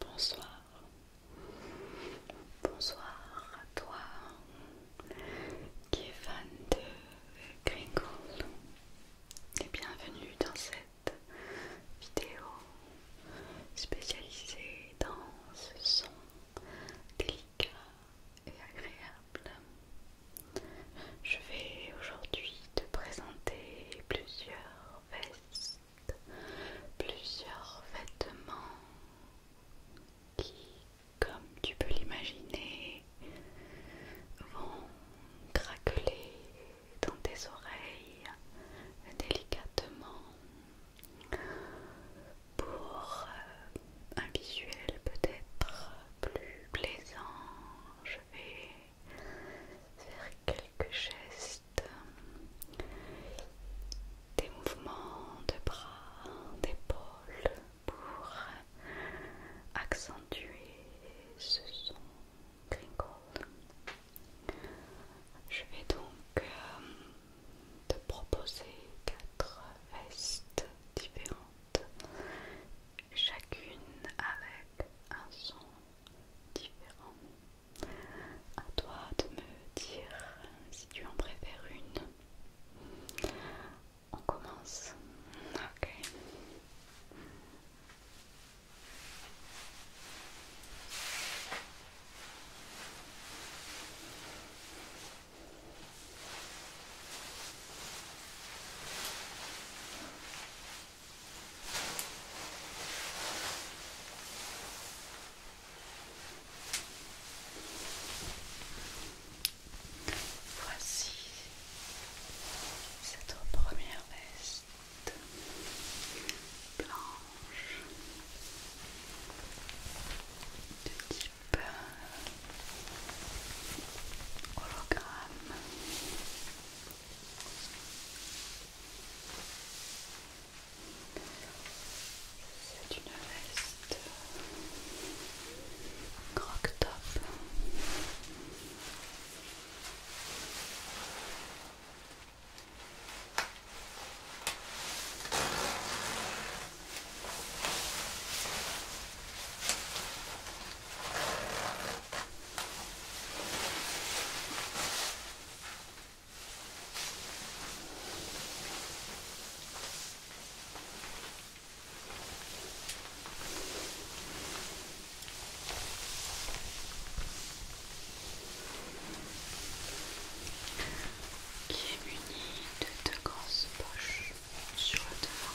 Bonsoir, bonsoir à toi qui est fan de et bienvenue dans cette vidéo spécialisée dans ce son délicat et agréable je vais aujourd'hui te présenter plusieurs vestes, plusieurs vêtements qui, comme tu peux l'imaginer, vont craqueler dans tes oreilles délicatement pour euh, un visuel peut-être plus plaisant je vais faire quelques gestes, des mouvements de bras, d'épaules pour accentuer ce son crinkle. Je vais donc euh, te proposer quatre vestes différentes chacune avec un son différent. À toi de me dire si tu en préfères une. On commence. Ok. Voici cette première veste blanche de type hologramme. C'est une veste croc-top qui est muni de deux grosses poches sur le devant.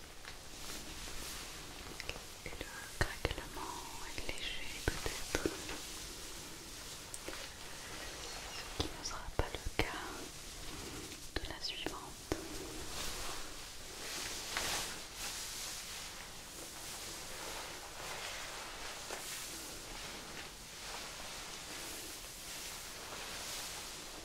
Et le craquement est léger peut-être, ce qui ne sera pas le cas de la suivante.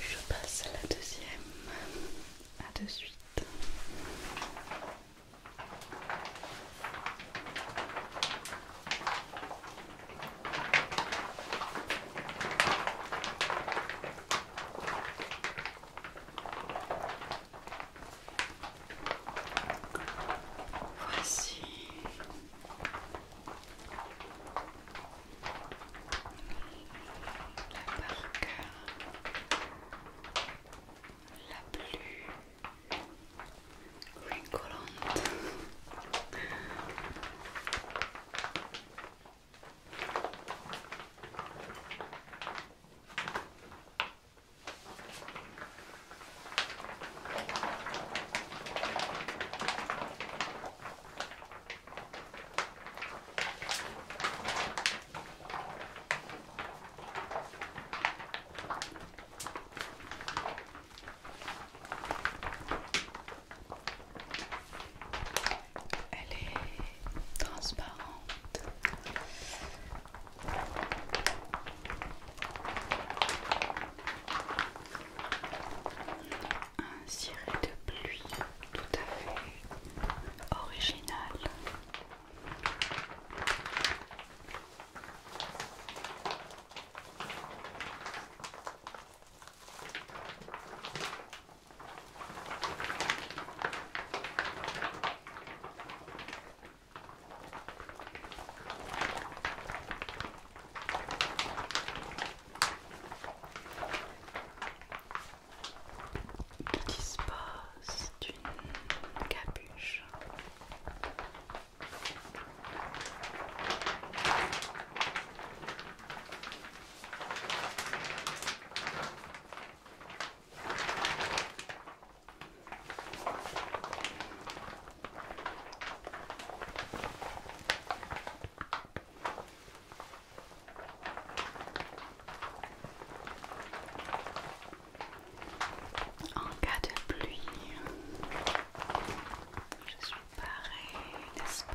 Je passe à la deuxième. À de suite. Voici la barque la plus rigolante. Elle est transparente un ciré de pluie tout à fait original qui dispose d'une capuche. En cas de pluie, je suis pareil, n'est-ce pas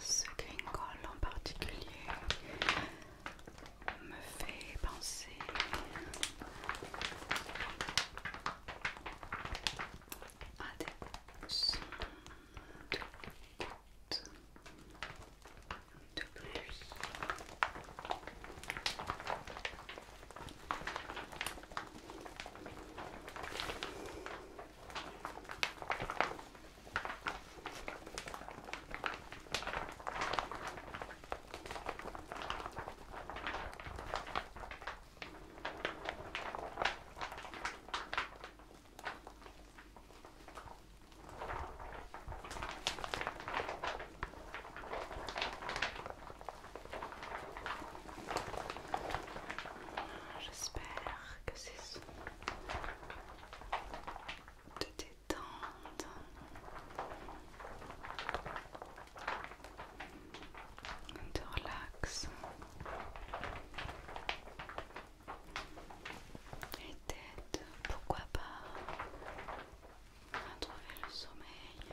Ce gringole en particulier, me fait penser à des sons de gouttes de J'espère que c'est de de relax. Et pourquoi pas, retrouver le sommeil.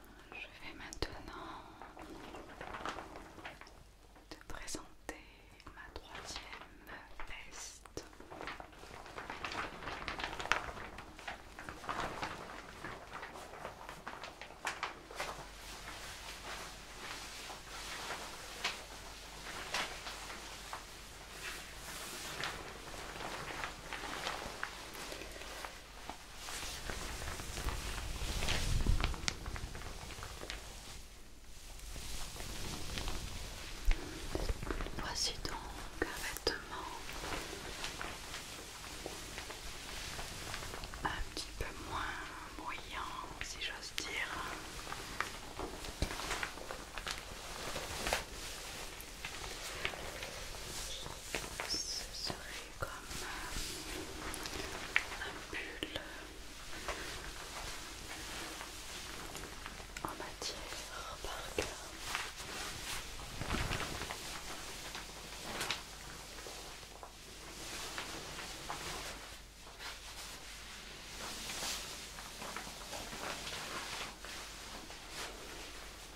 je vais maintenant te présenter ma troisième veste. Voici donc un vêtement un petit peu moins bruyant si j'ose dire ce serait comme un bulle en matière par cœur.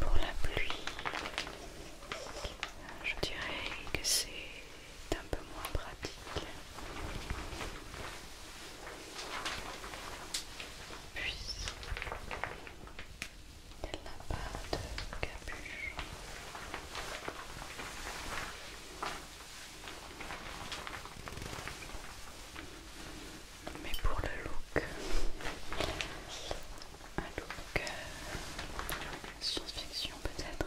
Pour la pluie, je dirais que c'est un peu moins pratique, elle n'a pas de capuche mais pour le look, un look euh, science-fiction peut-être.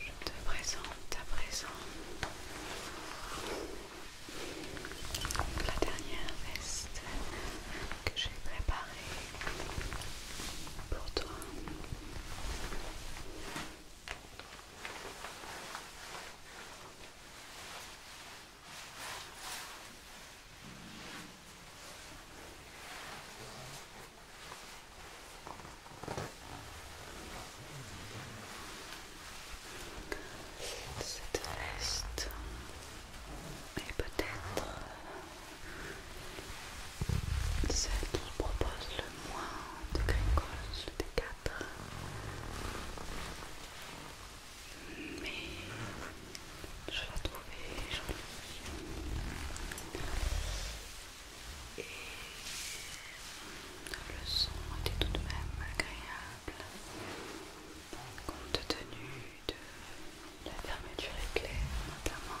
Je te présente à présent la dernière veste que j'ai préparée pour toi. Cette veste est peut-être celle qui propose le moins de gringos mais je l'ai trouvé et le son était tout de même agréable compte tenu de la fermeture éclair notamment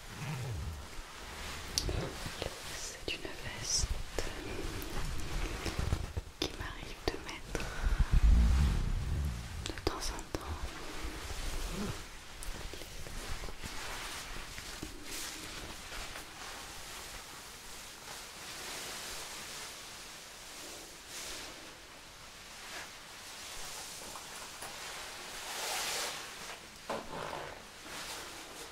C'est une veste qui m'arrive de mettre de temps en temps.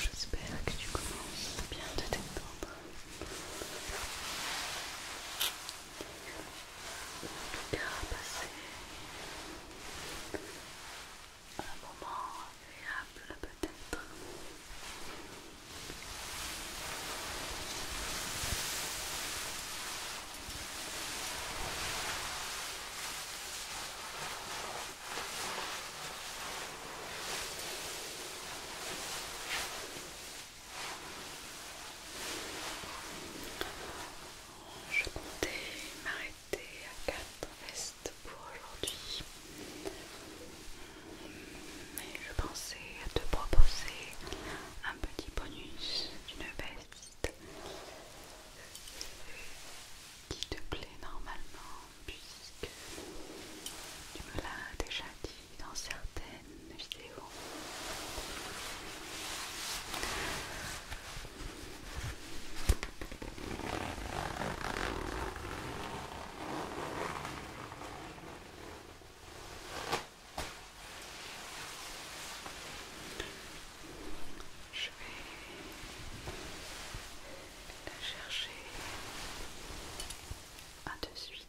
J'espère que tu commences bien te détendre. Tout a passé un moment agréable peut-être. Je comptais m'arrêter à quatre restes pour aujourd'hui mais je pensais te proposer un petit bonus d'une veste qui te plaît normalement puisque tu me l'as déjà dit dans certaines vidéos. Je vais la chercher à deux de suite.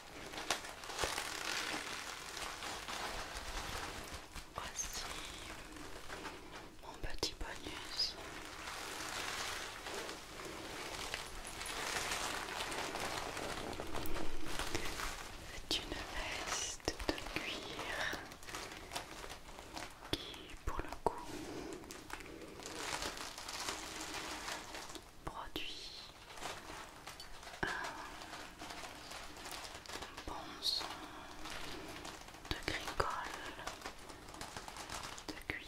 Voici mon petit bonus. C'est une veste de cuir qui, pour le coup, produit un bon son de gricole de cuir.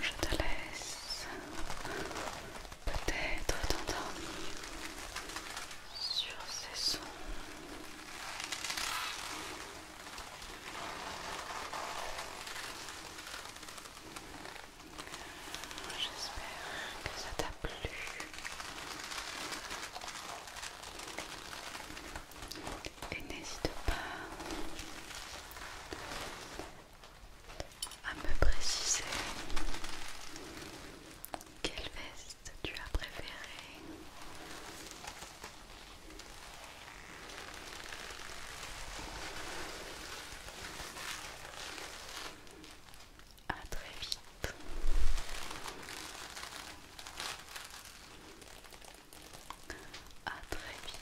Je te laisse peut-être t'endormir sur ces sons. J'espère que ça t'a plu. Et n'hésite pas à me préciser quelle veste tu as préférée à très vite. À très vite.